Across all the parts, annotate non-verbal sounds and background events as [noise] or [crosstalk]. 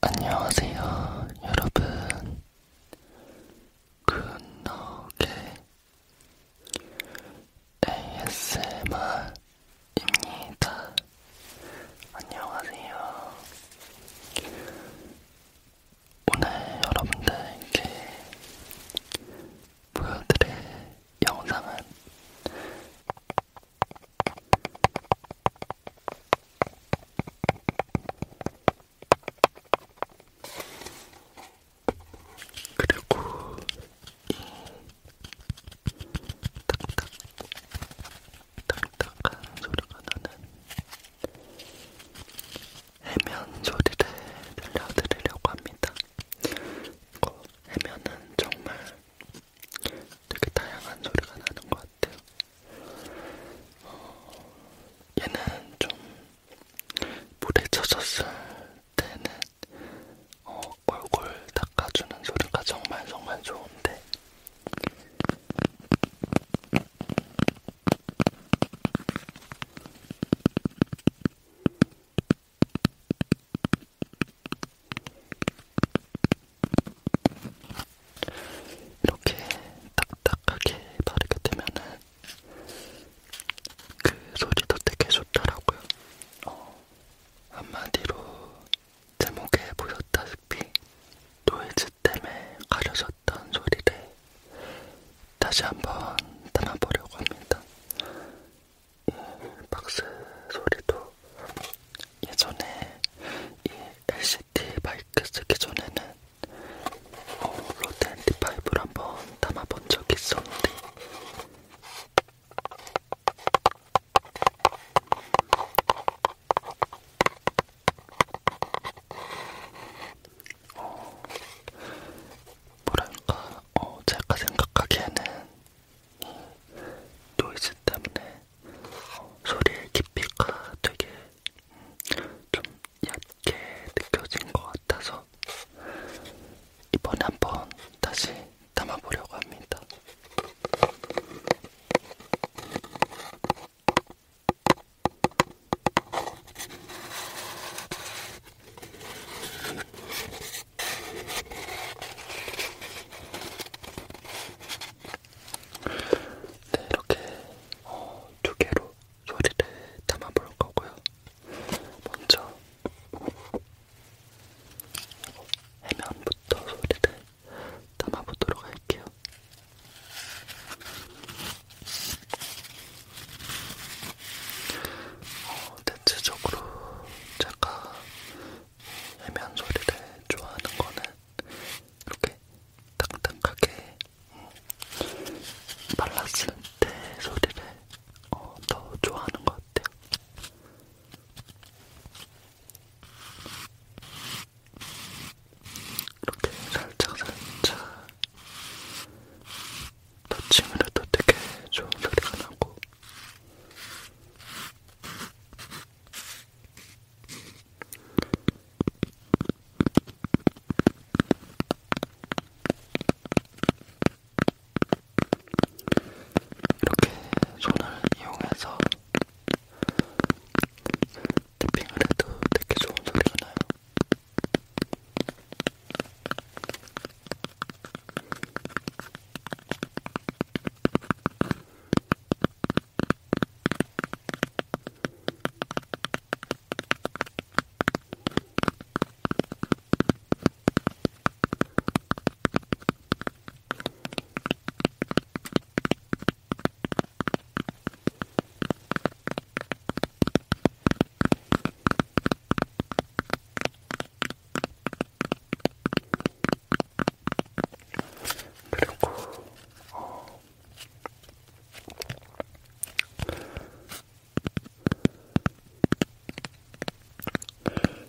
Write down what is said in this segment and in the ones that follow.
안녕하세요, 여러분. 굿노게 ASMR입니다. 안녕하세요. 오늘 여러분들께 보여드릴 영상은 그리고 이 딱딱 딱딱한 소리가 나는 해면 소리를 들려드리려고 합니다. 이거 그 해면은 정말 되게 다양한 소리가 나는 것 같아요. 어, 얘는 좀 물에 젖었을 때는 어, 골골 닦아주는 소리가 정말 정말 좋은데 이렇게 딱딱하게 바르게 되면은 그 소리도 되게 좋더라고요. 어, 한마디로 제목에 보였다시피 노이즈 때문에 가려졌던 소리를 다시 한번 담아보려고 합니다. 이 예, 박스 소리도 예전에 이 LCT 마이크 쓰기 전에는 어, 로드 ND5를 한번 담아본 적이 있었는데 어, 뭐랄까 어, 제가 생각하기에는 노이즈 때문에 어, 소리의 깊이가 되게 좀 얇게 느껴진 것 같아서 이번에 한번 다시 담아보려고 합니다. 네, 이렇게 어, 두 개로 소리를 담아볼 거고요. 먼저 해면부터 소리를 담아보도록 할게요. 어, 대체적으로 제가 해면 소리를 좋아하는 거는 이렇게 딱딱하게 어, 발랐을 때 소리를 어, 더 좋아하는 것 같아요. 이렇게 살짝살짝 터치면또 되게 좋은 소리가 나고 이렇게 손을 이용해서 탭핑을 해도 되게 좋은 소리가 나요. 그리고 어,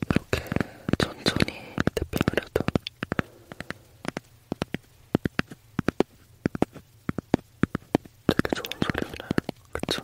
이렇게 천천히 태핑을 해도 되게 좋은 소리가 나요. 그쵸?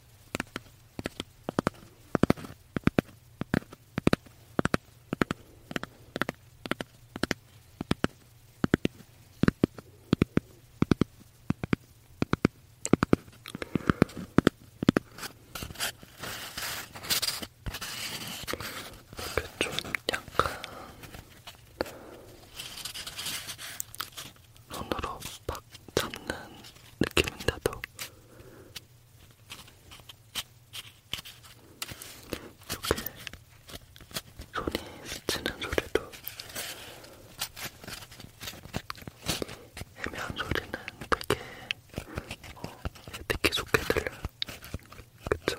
좀 약간 손으로 막 잡는 느낌인데도 이렇게 손이 스치는 소리도 애매한 소리는 되게 어, 듣기 좋게 들려요. 그쵸?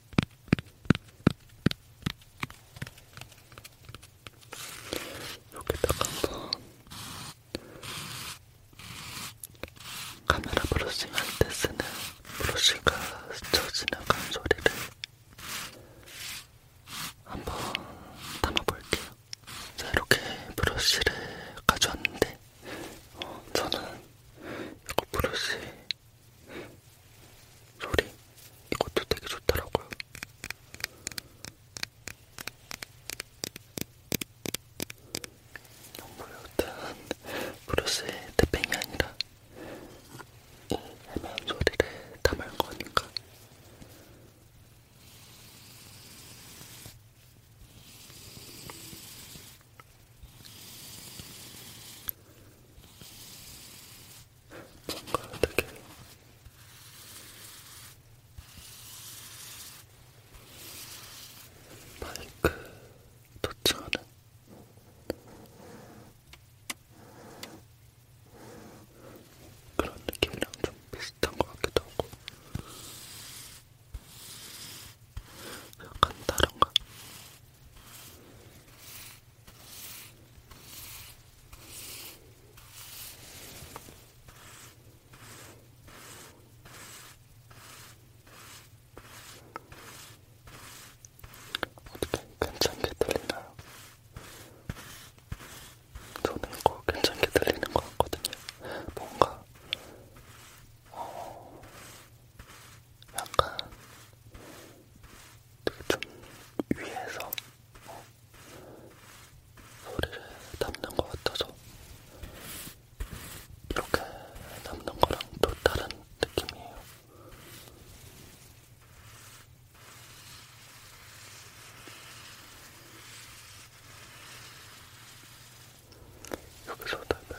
여기다가 한번 카메라 브러싱 할때 쓰는 브러쉬가 스쳐 지나간 소리를 한번 담아볼게요. 자, 이렇게 브러쉬를 가져왔는데, 어, 저는 이거 브러쉬 소리 이것도 되게 좋더라고요. 물론 브루스의 태평이 아니라 이 해면 소리를 담을 거니까. 뭔가 되게 마이크 도착하는 그런 느낌이랑 좀 비슷한 것 같기도 하고 약간 다른가? 어떻게 괜찮게 들리나요? 저는 거 괜찮게 들리는 것 같거든요. 뭔가 어, 약간 좀 위에서 어, 소리를 담는 것 같아서 이렇게 담는 거랑 또 다른 느낌이에요. 여기서 달아야겠다.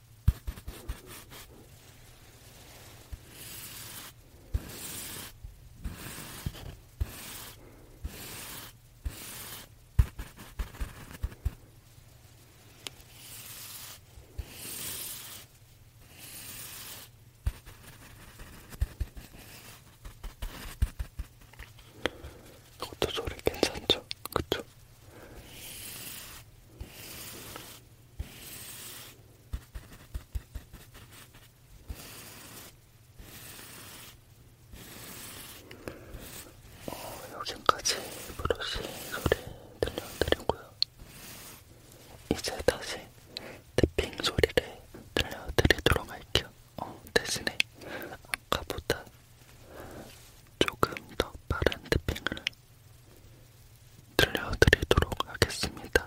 이것도 소리 괜찮죠? 그쵸? 어, 여기까지 브러쉬 소리 들려드리고요. 이제 다시 탭핑 소리를 들려드리도록 할게요. 어, 대신에 아까보다 조금 더 빠른 탭핑을 들려드리도록 하겠습니다.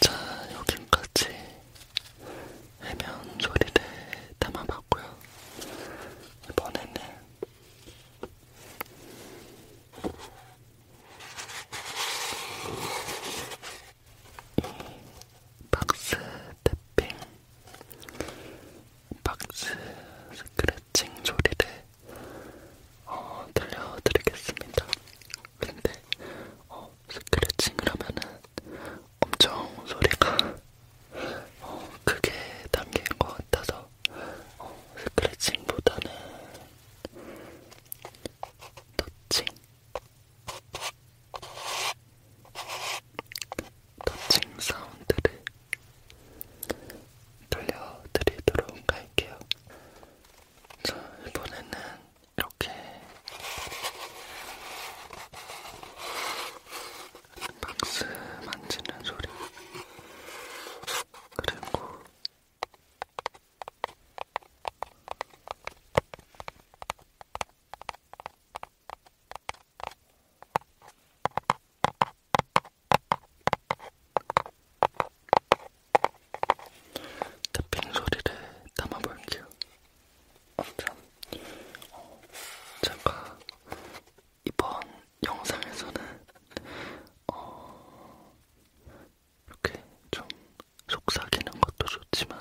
자, 여기까지 해면 소리를 담아봤고요. 이번에는 박스 태핑, 박스 스크래칭 소리를 어, 들려드리겠습니다. 근데 어, 스크래칭을 하면은 엄청 소리가 어, 크게 담긴 것 같아서 어, 스크래칭보다는 도칭 도칭 사운드를 들려드리도록 할게요. 자, 이번에는 이렇게 박스 만지는 소리 그리고 탭핑 소리를 담아볼게요. 아무튼 어, 제가 이번 영상에서는 어, 이렇게 좀 속삭이는 것도 좋지만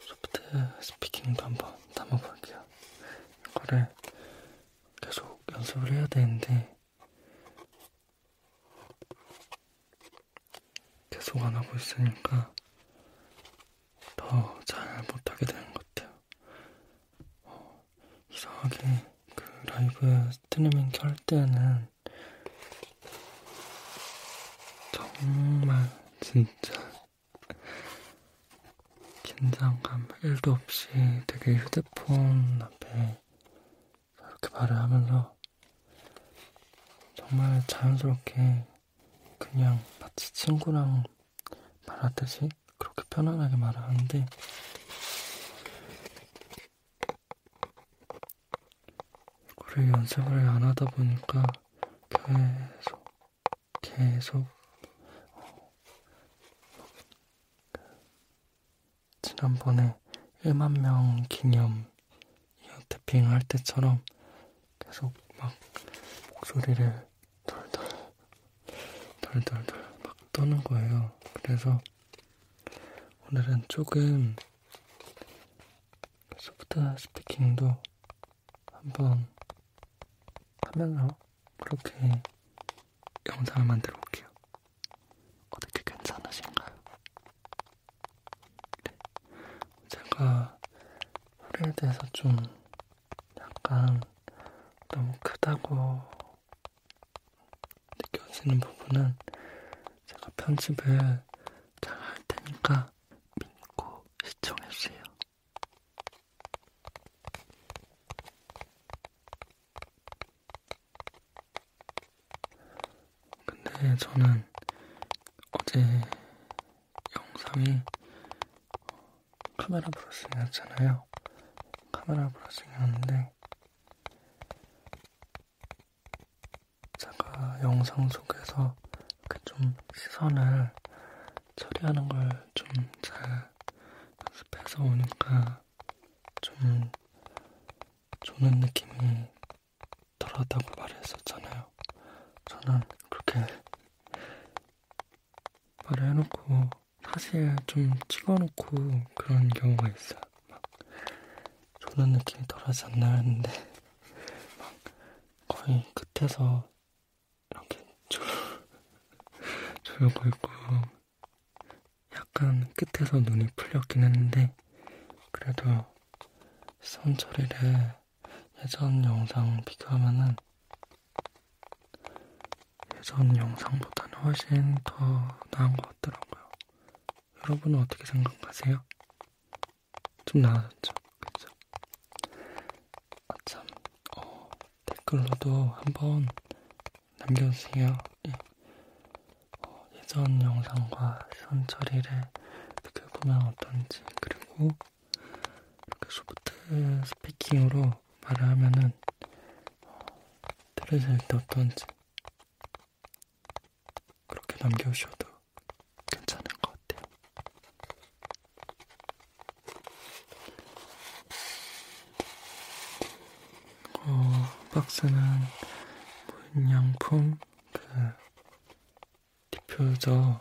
소프트 스피킹도 한번 담아볼게요. 이거를 계속 연습을 해야 되는데 계속 안 하고 있으니까 더 잘 못하게 되는 것 같아요. 어, 이상하게 그 라이브 스트리밍 켤 때는 정말 진짜 긴장감 1도 없이 되게 휴대폰 앞에 이렇게 말을 하면서 정말 자연스럽게 그냥 마치 친구랑 말하듯이 그렇게 편안하게 말을 하는데 그걸 연습을 안 하다 보니까 계속, 계속, 어, 지난번에 1만 명 기념 이어태핑 할 때처럼 계속 막 목소리를 덜덜, 덜덜덜 막 떠는 거예요. 그래서 오늘은 조금 소프트 스피킹도 한번 하면서 그렇게 영상을 만들어 볼게요. 어떻게 괜찮으신가요? 네. 제가 소리에 대해서 좀 약간 너무 크다고 느껴지는 부분은 제가 편집을 잘 할 테니까 믿고 시청해주세요. 근데 저는 어제 영상이 어, 카메라 브러싱이었잖아요. 카메라 브러싱이었는데 제가 영상 속에서 이렇게 좀 시선을 처리하는 걸 좀 잘 연습해서 오니까 좀 조는 느낌이 덜하다고 말했었잖아요. 저는 그렇게 말을 해놓고 사실 좀 찍어놓고 그런 경우가 있어요. 막 졸는 느낌이 덜하지 않나 했는데 막 거의 끝에서 이렇게 졸 [laughs] 졸고 있고 약간 끝에서 눈이 풀렸긴 했는데 그래도 선 처리를 예전 영상 비교하면은 예전 영상보다는 훨씬 더 나은 것 같더라고요. 여러분은 어떻게 생각하세요? 좀 나아졌죠? 그쵸? 아, 참, 어, 댓글로도 한번 남겨주세요. 예. 어, 예전 영상과 선 처리를 어떻게 보면 어떤지, 그리고 이렇게 소프트 스피킹으로 말을 하면은 어, 들으실 때 어떤지 그렇게 남겨주셔도 괜찮은 것 같아요. 어, 박스는 무인양품 그 디퓨저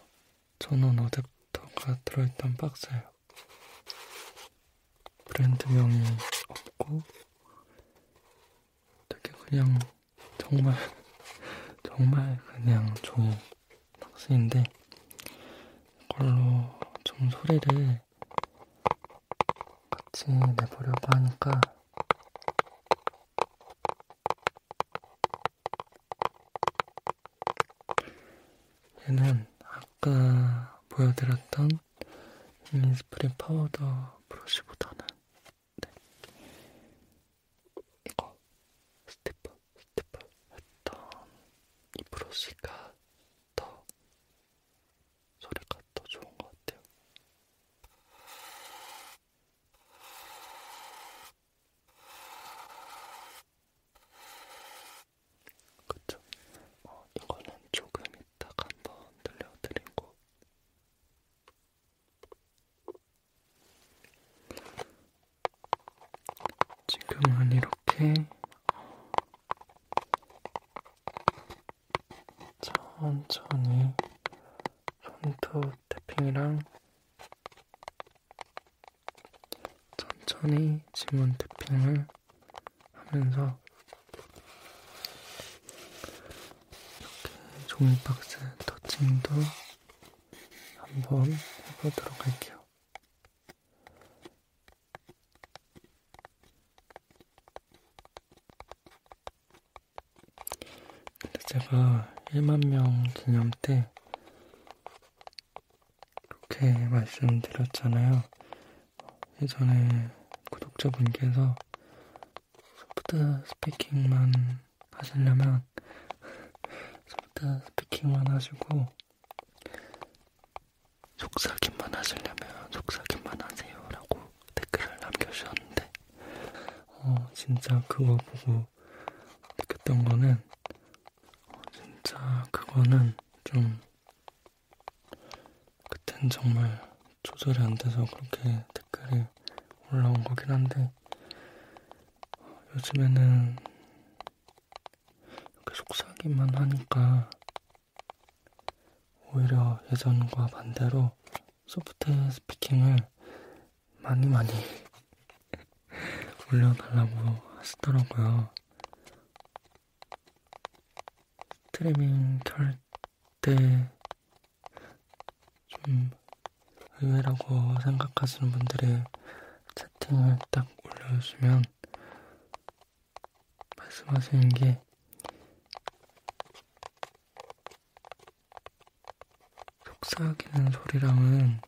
전원 어댑터가 들어있던 박스예요. 브랜드명이 없고 되게 그냥 정말 정말 그냥 저 박스인데 이걸로 좀 소리를 같이 내보려고 하니까 얘는 아까 보여드렸던 인스프링 파우더 브러쉬보다는 네. 이거 스티프 스티프 했던 이 브러쉬가 더 소리가 더 좋은 것 같아요. 그쵸? 어, 이거는 조금 이따가 한번 들려드리고 지금은 이렇게 천천히 손톱 태핑이랑 천천히 지문 태핑을 하면서 이렇게 종이박스 터칭도 한번 해보도록 할게요. 근데 제가 1만 명 기념 때 그렇게 말씀드렸잖아요. 예전에 구독자분께서 소프트 스피킹만 하시려면 소프트 스피킹만 하시고 속삭임만 하시려면 속삭임만 하세요 라고 댓글을 남겨주셨는데 어 진짜 그거 보고 느꼈던 거는 어, 진짜 그거는 좀 그땐 정말 조절이 안 돼서 그렇게 댓글이 올라온 거긴 한데 요즘에는 이렇게 속삭이만 하니까 오히려 예전과 반대로 소프트 스피킹을 많이 많이 [laughs] 올려달라고 하시더라고요. 스트리밍 켤 그때 좀 의외라고 생각하시는 분들이 채팅을 딱 올려주시면 말씀하시는 게 속삭이는 소리랑은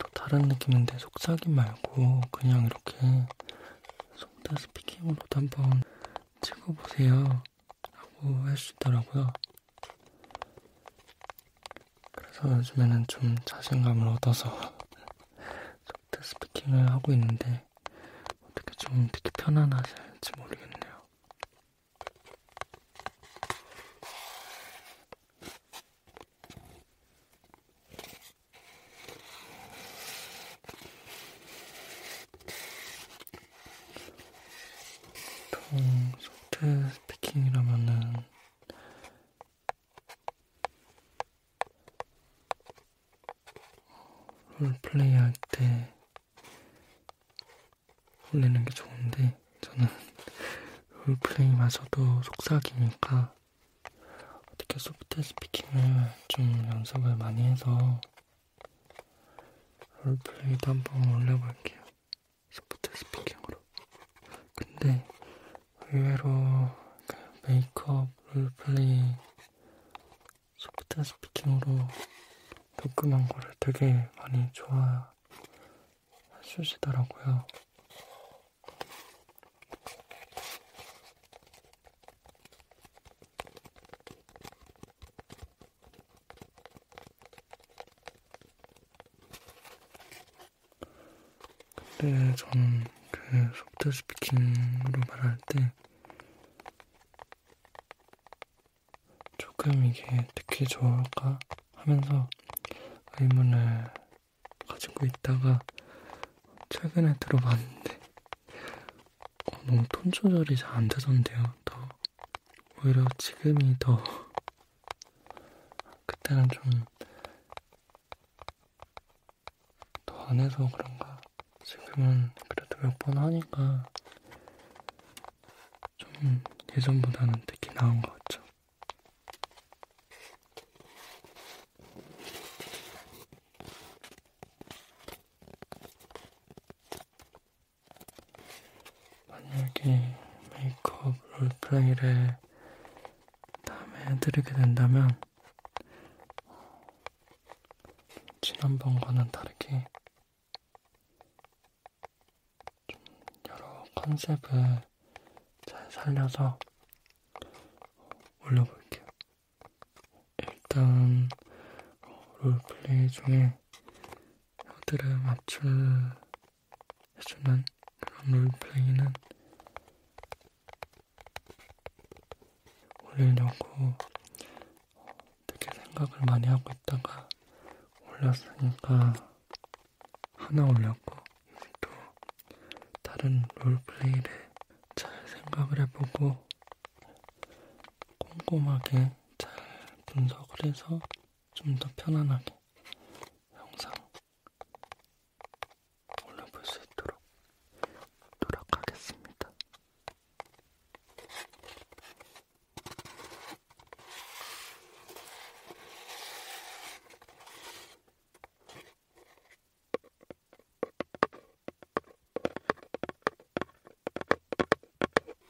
또 다른 느낌인데 속삭임 말고 그냥 이렇게 속다 스피킹으로도 한번 찍어보세요. 하고 해주더라고요. 그래서 요즘에는 좀 자신감을 얻어서 소프트 스피킹을 하고 있는데 어떻게 좀 특히 편안하실지 모르겠네요. 보통 소프트 스피킹이라면은 롤플레이 할때 올리는 게 좋은데 저는 [laughs] 롤플레이마저도 속삭이니까 어떻게 소프트 스피킹을 좀 연습을 많이 해서 롤플레이도 한번 올려볼게요. 소프트 스피킹으로. 근데 의외로 그 메이크업, 롤플레이, 소프트 스피킹으로 녹음한 거를 되게 많이 좋아하시더라고요. 근데 저는 그 속도 스피킹으로 말할 때 조금 이게 특히 좋을까 하면서 의문을 가지고 있다가 최근에 들어봤는데 어, 너무 톤 조절이 잘 안 되던데요. 더 오히려 지금이 더 그때는 좀 더 안 해서 그런가. 지금은 그래도 몇 번 하니까 좀 예전보다는 되게 나은 것 같죠. 만약에 메이크업 롤플레이를 다음에 해드리게 된다면 지난번과는 다르게 좀 여러 컨셉을 잘 살려서 올려볼게요. 일단 어, 롤플레이 중에 혀들을 맞출해주는 그런 롤플레이는 올리려고 되게 생각을 많이 하고 있다가 올랐으니까 하나 올렸고 이제 또 다른 롤플레이를 잘 생각을 해보고 꼼꼼하게 잘 분석을 해서 좀 더 편안하게 영상 올려볼 수 있도록 노력하겠습니다.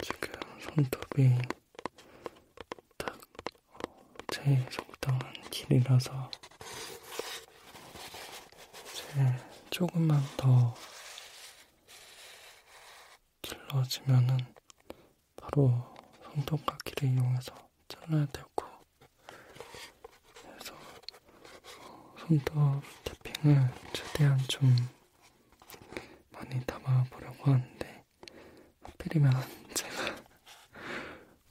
지금 손톱이 딱 어, 제일 적당한 길이라서 제일 조금만 더 길러지면은 바로 손톱깎이를 이용해서 잘라야 되고 그래서 손톱 태핑을 최대한 좀 많이 담아보려고 하는데 하필이면 제가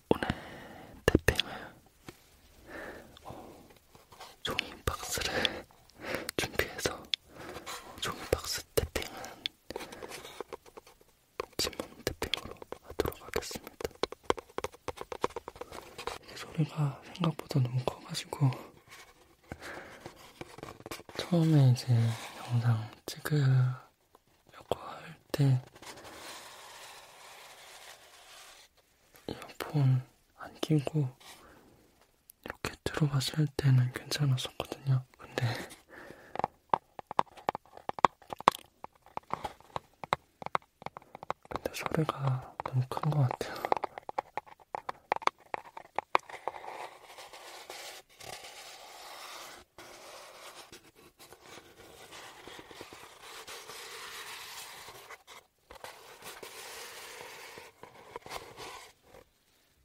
오늘 태핑을 어, 종이박스를 준비해서 어, 종이박스 태핑은 지문 태핑으로 하도록 하겠습니다. 이게 소리가 생각보다 너무 커가지고 처음에 이제 영상 찍으려고 할때 이어폰 안 끼고 이렇게 들어봤을 때는 괜찮았었거든요. 근데 근데 소리가 너무 큰 것 같아요.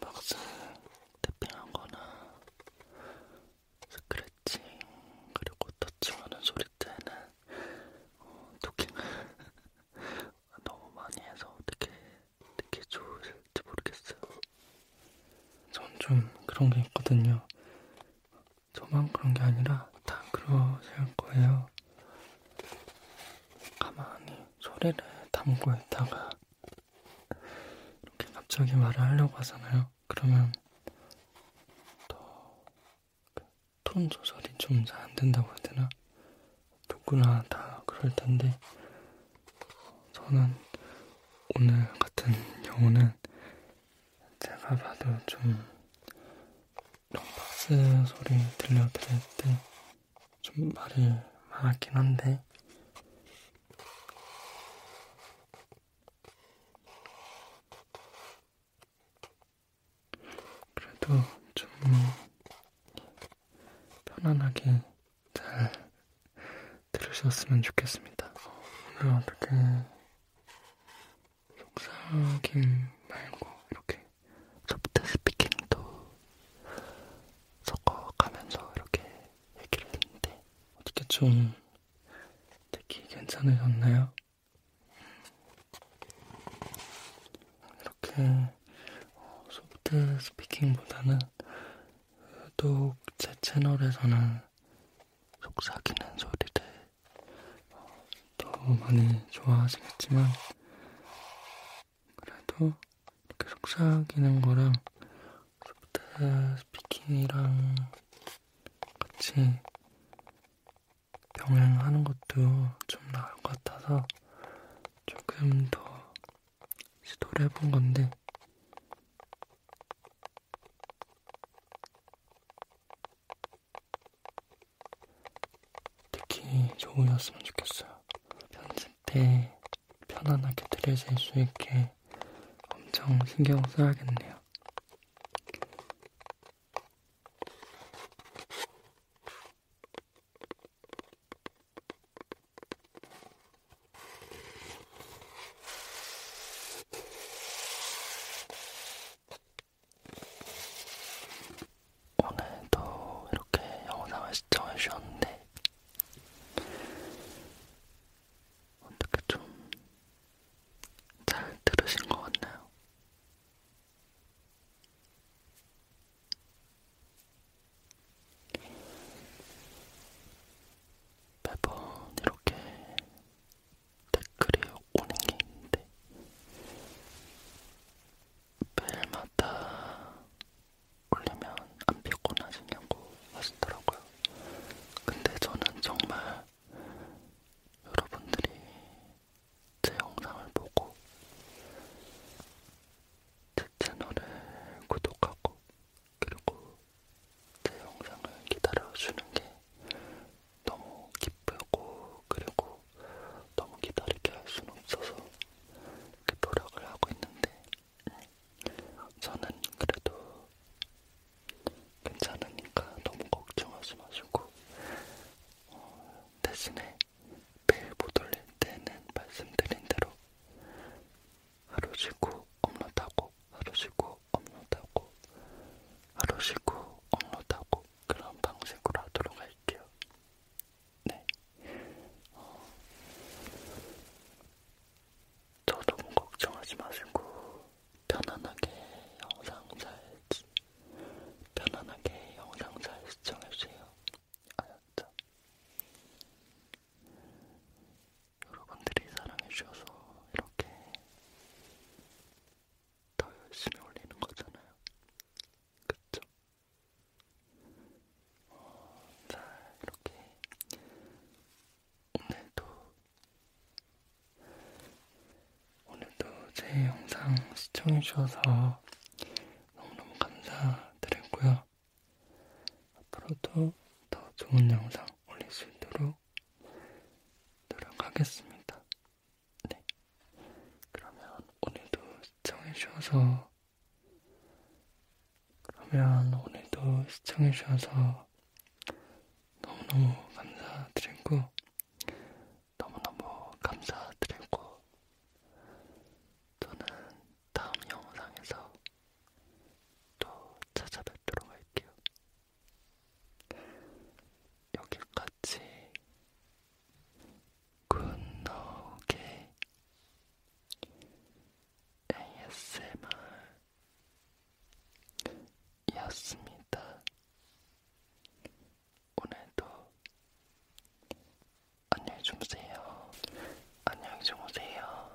박스 태핑한 거나 스크래칭 그리고 터치하는 소리 때는 어, 토킹을 [laughs] 너무 많이 해서 어떻게 듣기 좋을지 모르겠어요. 전 좀 그런 게 있거든요. 저만 그런 게 아니라 다 그러실 거예요. 가만히 소리를 담고 있다가 이렇게 갑자기 말을 하려고 하잖아요. 그러면 그 톤 조절이 좀 잘 안 된다고 해야 되나? 누구나 다 그럴 텐데 저는 오늘 같은 경우는 제가 봐도 좀 롱박스 소리 들려드릴 때 좀 말이 많았긴 한데 그래도 좀 편안하게 잘 들으셨으면 좋겠습니다. 오늘 네, 어떻게 속삭임 말고 이렇게 소프트 스피킹도 섞어가면서 이렇게 얘기를 했는데 어떻게 좀 듣기 괜찮으셨나요? 이렇게 소프트 어, 스피킹보다는 유독 제 채널에서는 속삭이는 소리를 어, 너무 많이 좋아하시겠지만 그래도 이렇게 속삭이는 거랑 속대 스피킹이랑 같이 병행하는 것도 좀 나을 것 같아서 조금 더 시도를 해본 건데, 특히 좋으셨으면 좋겠어요. 편집 때 편안하게 들으실 수 있게 엄청 신경 써야겠네요. 오늘도 이렇게 영상을 시청해 주셨는데 어떻게 좀 잘 들으신 것 같나요? 매번 이렇게 댓글이 오는 게 있는데 매일마다 올리면 안 피곤하시냐고 하시더라고요. 근데 저는 정말 여러분들이 제 영상을 보고 제 채널을 구독하고 그리고 제 영상을 기다려주는 게 너무 기쁘고 그리고 너무 기다리게 할 수는 없어서 이렇게 노력을 하고 있는데 저는 그래도 괜찮으니까 너무 걱정하지 마시고 어, 대신에 매일 못 올릴 때는 말씀드린 대로 하루 쉬고 업로드하고 하루 쉬고 업로드하고 하루 쉬고 업로드하고 그런 방식으로 하도록 할게요. 네. 어, 저 너무 뭐 걱정하지 마시고 편안하게 영상 잘 편안하게 영상 잘 시청해주세요. 알았죠? 여러분들이 사랑해주셔서 이렇게 더 열심히 올리는 거잖아요. 그쵸? 어, 자, 이렇게 오늘도 오늘도 제 영상 시청해주셔서 너무너무 감사드리고요. 앞으로도 더 좋은 영상 올릴 수 있도록 노력하겠습니다. 네. 그러면 오늘도 시청해주셔서, 그러면 오늘도 시청해주셔서 너무너무 감사드리고, 너무너무 감사드리고, 저는 다음 영상에서 또 찾아뵙도록 할게요. 여기까지 굿노게 ASMR이었습니다. 오늘도 안녕히 주무세요. 안녕히 주무세요.